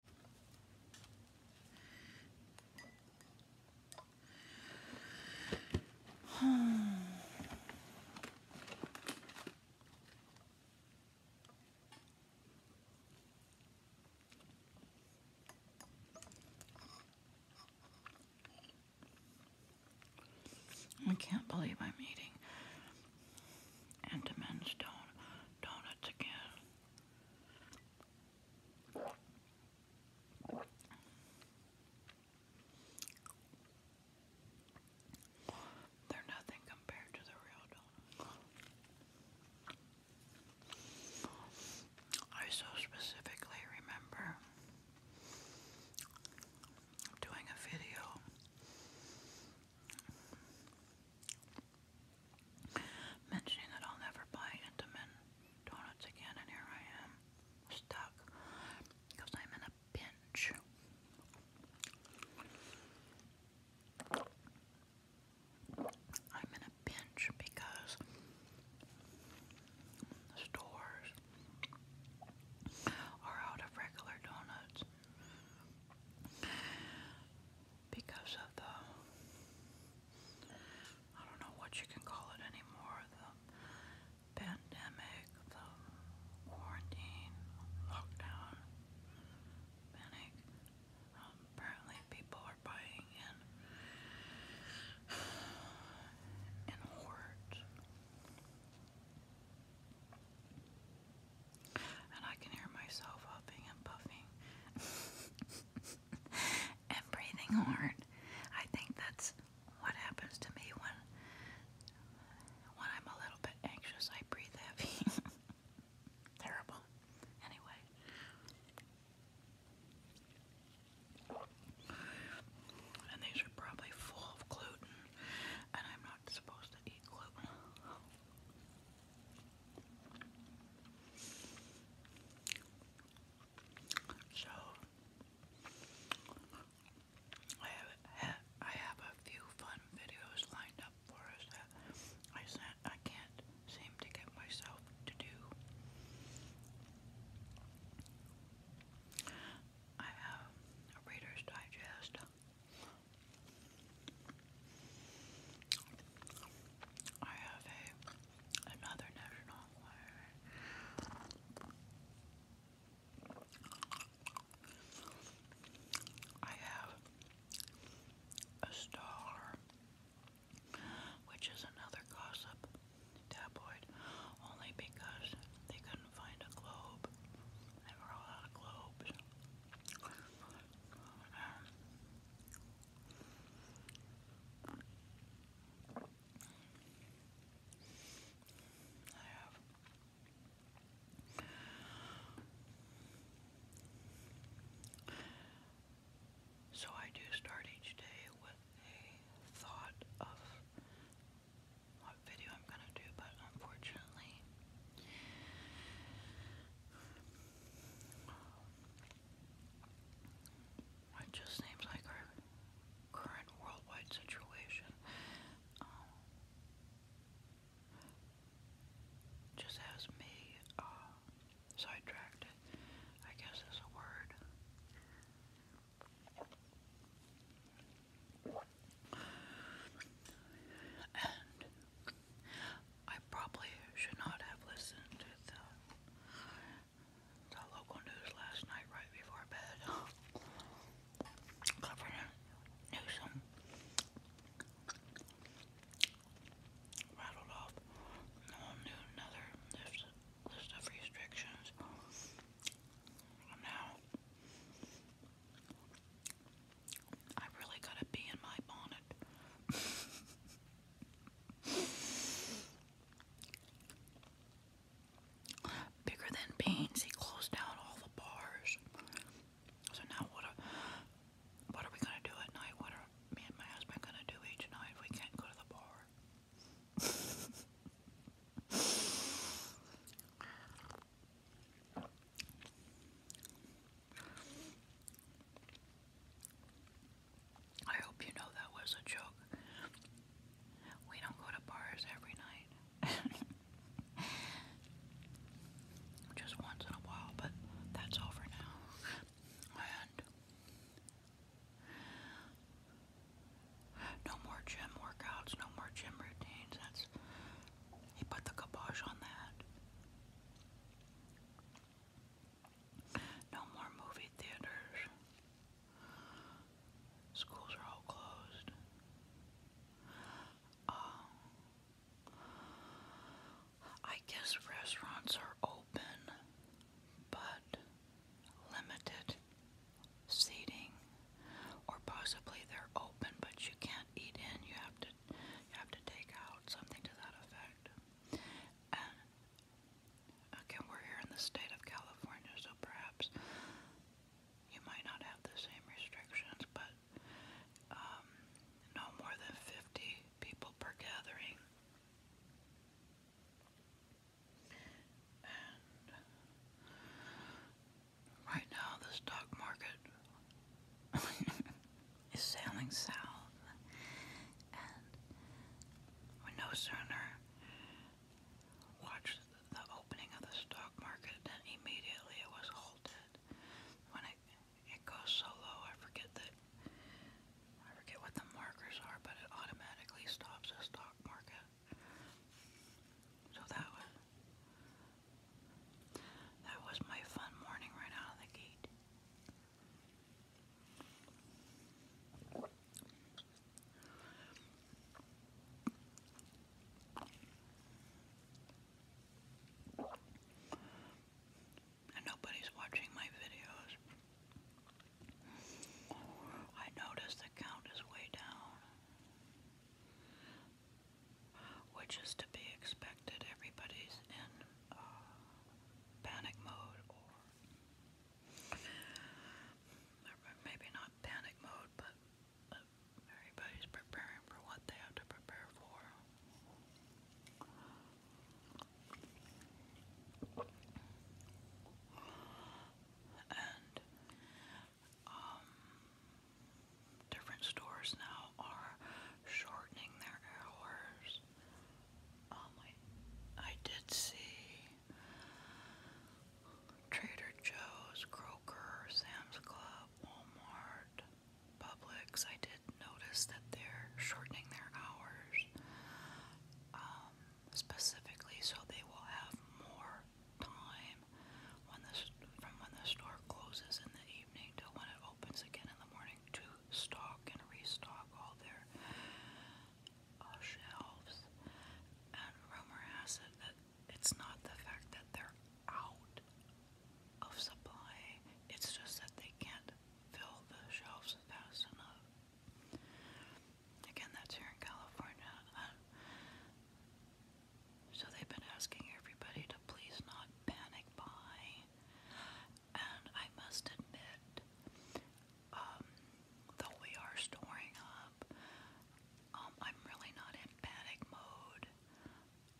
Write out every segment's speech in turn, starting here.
I can't believe I'm eating Enderman's donuts again. They're nothing compared to the real donuts. I so specifically remember doing a video Mentioning that I'll never buy Intamin donuts again, and here I am, stuck, because I'm in a pinch. I'm in a pinch because the stores are out of regular donuts because of the I don't know what you can call it anymore the pandemic, the quarantine, lockdown, panic. Um, apparently, people are buying in in hordes. And I can hear myself huffing and puffing and breathing hard. I think that's what happens to me when when I'm a little bit anxious. I breathe heavy. Terrible. Anyway. And these are probably full of gluten, and I'm not supposed to eat gluten. So I have I have a few fun videos lined up for us I can't seem to get myself to do. I have a Reader's Digest. I have a another national I have a star, which is another gossip tabloid, only because they couldn't find a globe. They were out of globes. I have so I do start each day with a thought of what video I'm gonna do, but unfortunately it just seems like our current worldwide situation um, just has me uh, sidetracked. I guess is a word. And I probably should not have listened to the, local news last night right before bed. Governor Newsom rattled off another list, of restrictions. And now I really gotta be in my bonnet. Bigger than beans, he closed down all the bars. So now what what are we gonna do at night? What are me and my husband gonna do each night if we can't go to the bar? I hope you know that was a joke. We don't go to bars every night. Just once in a while, but that's over now. And no more gym workouts, no more gym routines. That's he put the kabosh on that. No more movie theaters. Schools are all closed. Uh, I guess restaurants are open, but limited seating, or possibly they're open, but you can't eat in. You have to have to take out something to that effect. And again, we're here in the state of California, so perhaps you might not have the same restrictions, but um, no more than 50 people per gathering. right now, the stock market is sailing south, and we no sooner watched the opening of the stock market than immediately it was halted. When it it goes so low, I forget that I forget what the markers are, but it automatically stops the stock market. So that was that was my fun morning right out of the gate. And nobody's watching my videos. I notice the count is way down which is to be expected. Everybody's in uh, panic mode, or maybe not panic mode, but uh, everybody's preparing for what they have to prepare for. And um, different stores now are shortening their hours. Um, I, did see Trader Joe's, Kroger, Sam's Club, Walmart, Publix. I did notice that they're shortening their hours um, specifically so they will have more time from when the store closes in the evening till when it opens again in the morning to stock and restock all their uh, shelves. And rumor has it that it's not the fact that they're out of supply, it's just that they can't fill the shelves fast enough. Again, that's here in California. So they've been asking everybody to please not panic buy. And I must admit, um, though we are storing up, um, I'm really not in panic mode.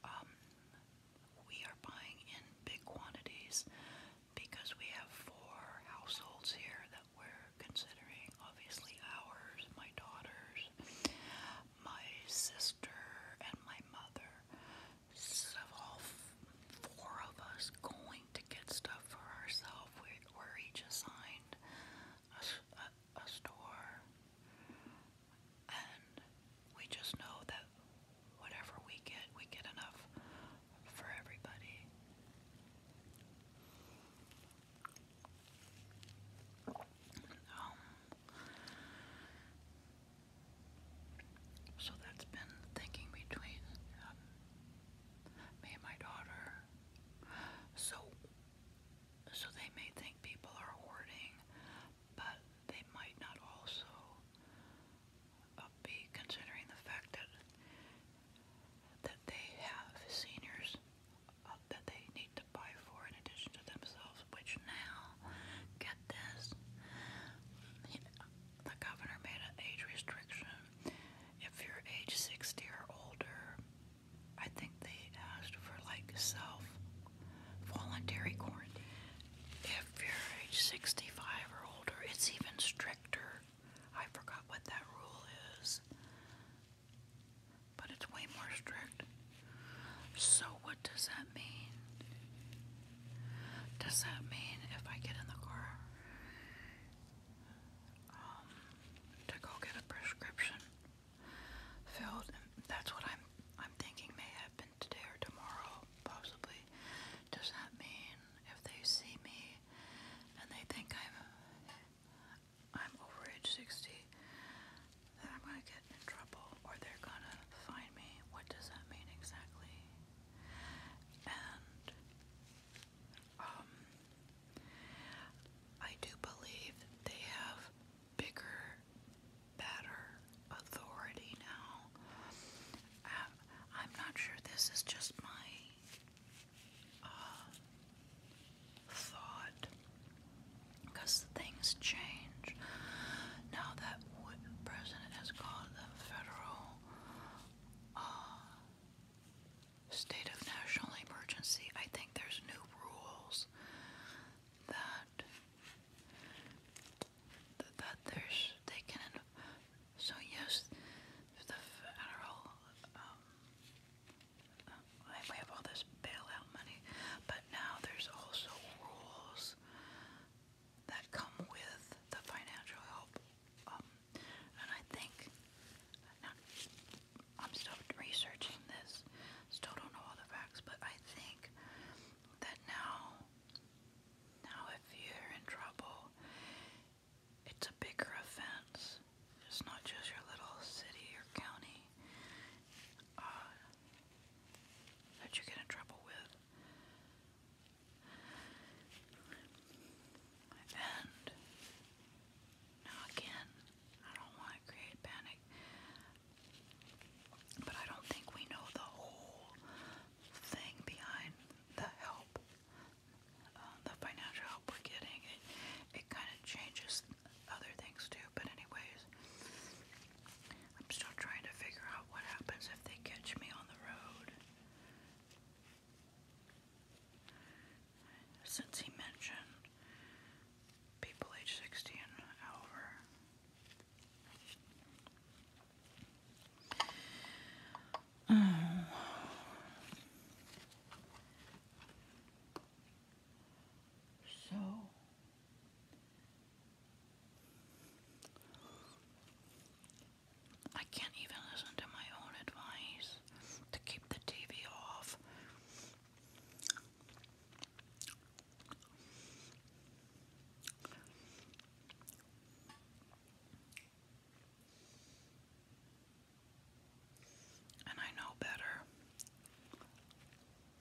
Um, we are buying in big quantities because we have four households here that we're considering. Obviously, ours, my daughter's, my sister and my mother. So all four of us going to get stuff for ourselves. We were each assigned a, store, and we just know that whatever we get, we get enough for everybody. Um, so that's been thinking between um, me and my daughter. So, so they may think people are hoarding, but they might not also uh, be considering the fact that that they have seniors that they need to buy for in addition to themselves, which now, get this, the governor made an age restriction. If you're age 60 or older, I think they asked for like self voluntary quarantine. If you're age 65 or older, it's even stricter. I forgot what that rule is but it's way more strict. So, what does that mean? Does that mean if I get in the car um, to go get a prescription filled? That's what I'm I'm thinking may happen today or tomorrow, possibly. Does that mean if they see me and they think I'm I'm over age 60, I'm gonna get in trouble or they're gonna find me. What does that mean exactly? And um I do believe they have bigger, better authority now. Uh, I'm not sure this is just my uh, thought because things change. Now that president has called the federal uh, state of national emergency, I think there's new rules that that there's they can so yes the federal um, we have all this bailout money, but now there's also rules that come with the financial help. Um, and I think I'm still researching this, still don't know all the facts, but I think that now, now if you're in trouble, it's a bigger offense. It's not just your little city or county. Uh, that you get in trouble with. And now again, I don't want to create panic, but I don't think we know the whole thing behind the help, uh, the financial help we're getting. it kind of changes other things too, but anyways, I'm still trying to figure out what happens if they catch me on the road. Since he mentioned people age 60 and so I can't even listen to my own advice to keep the TV off. And I know better. So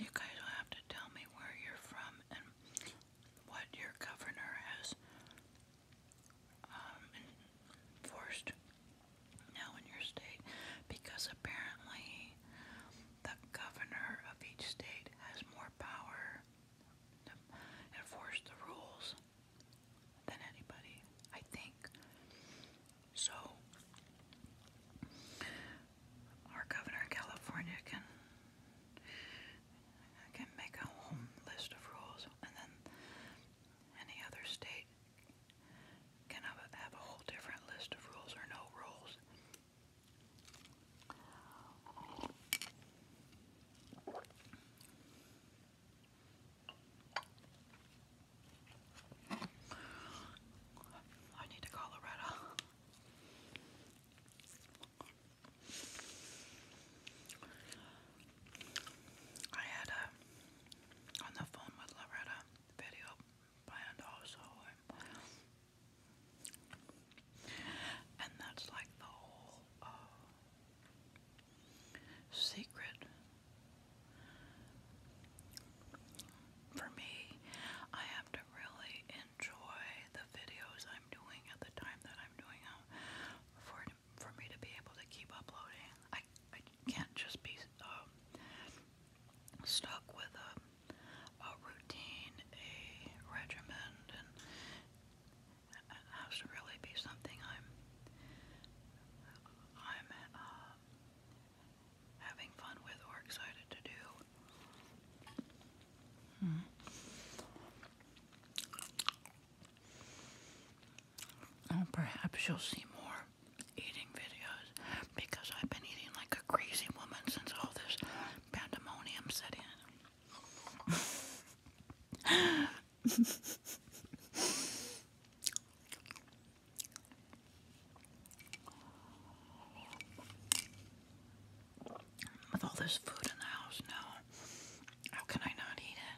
you guys will have to tell me where you're from and what your governor has um, enforced now in your state because apparently the governor of each state has more power to enforce the rules than anybody, I think. So, our governor in California can can make a whole list of rules, and then any other state can have a, whole different list of rules or no rules. I need to call Loretta. I had a on the phone with Loretta video planned also, and that's like the whole uh, secret for me. I have to really enjoy the videos I'm doing at the time that I'm doing them for for me to be able to keep uploading. I, I can't just be um, stuck with a, a routine, a regimen, and it has to really be something I'm I'm uh, having fun with or excited to do. Hmm. Oh, perhaps you'll see more eating videos because I've been eating like a crazy woman since all this pandemonium set in. With all this food in the house now, how can I not eat it?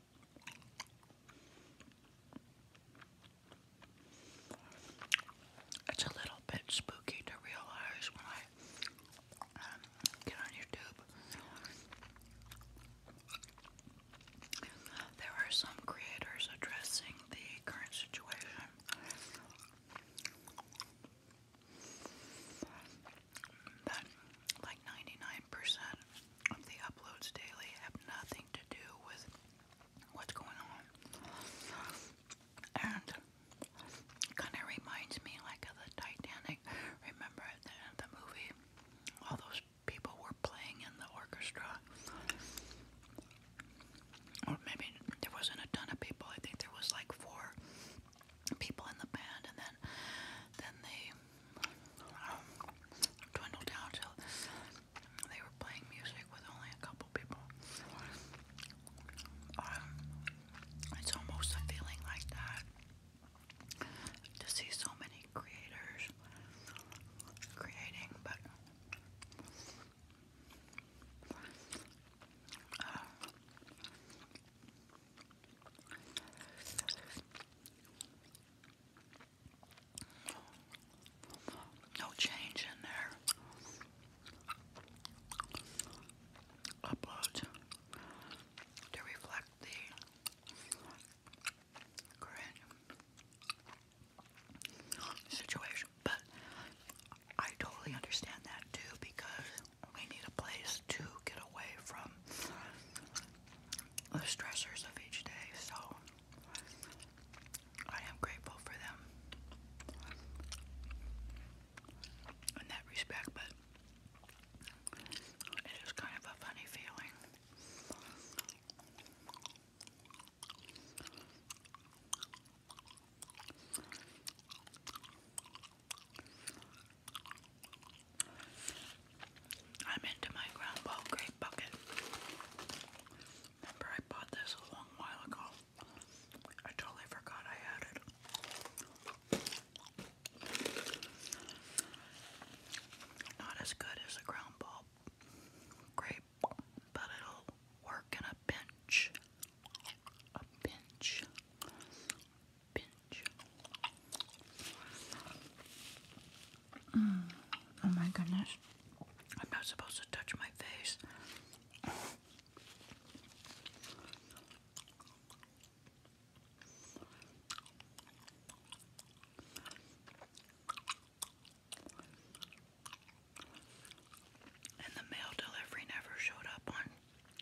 It's a little bit spooky to realize when I um, get on YouTube. There are some creators addressing the current situation. But like 99% of the uploads daily have nothing to do with what's going on. And kind of reminds me like of the Titanic. Remember at the the movie, all those people were playing in the orchestra. Or maybe there wasn't a ton of people. I think there was like four people in the band, and then then they um, dwindled they were playing music with only a couple people. Um, it's almost a feeling like that to see so many creators creating, but. Uh, no change in there. Upload to reflect the current situation. But I totally understand that too because we need a place to get away from the stressors of each day, so I am grateful for them in that respect, but it is kind of a funny feeling. I'm into my ground ball grape bucket. Remember I bought this a long while ago. I totally forgot I had it. Not as good as a ground ball grape, but it'll work in a pinch. A pinch. Pinch. Mm. Oh my goodness. I'm not supposed to touch my face. And the mail delivery never showed up on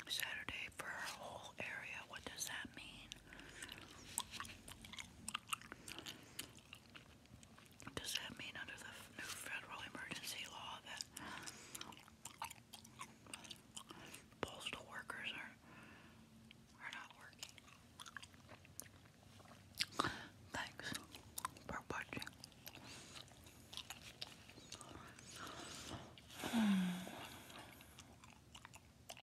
Saturday for our whole area. What does that mean? Does that mean under the new federal emergency law that postal workers are are not working? Thanks for watching. Hmm.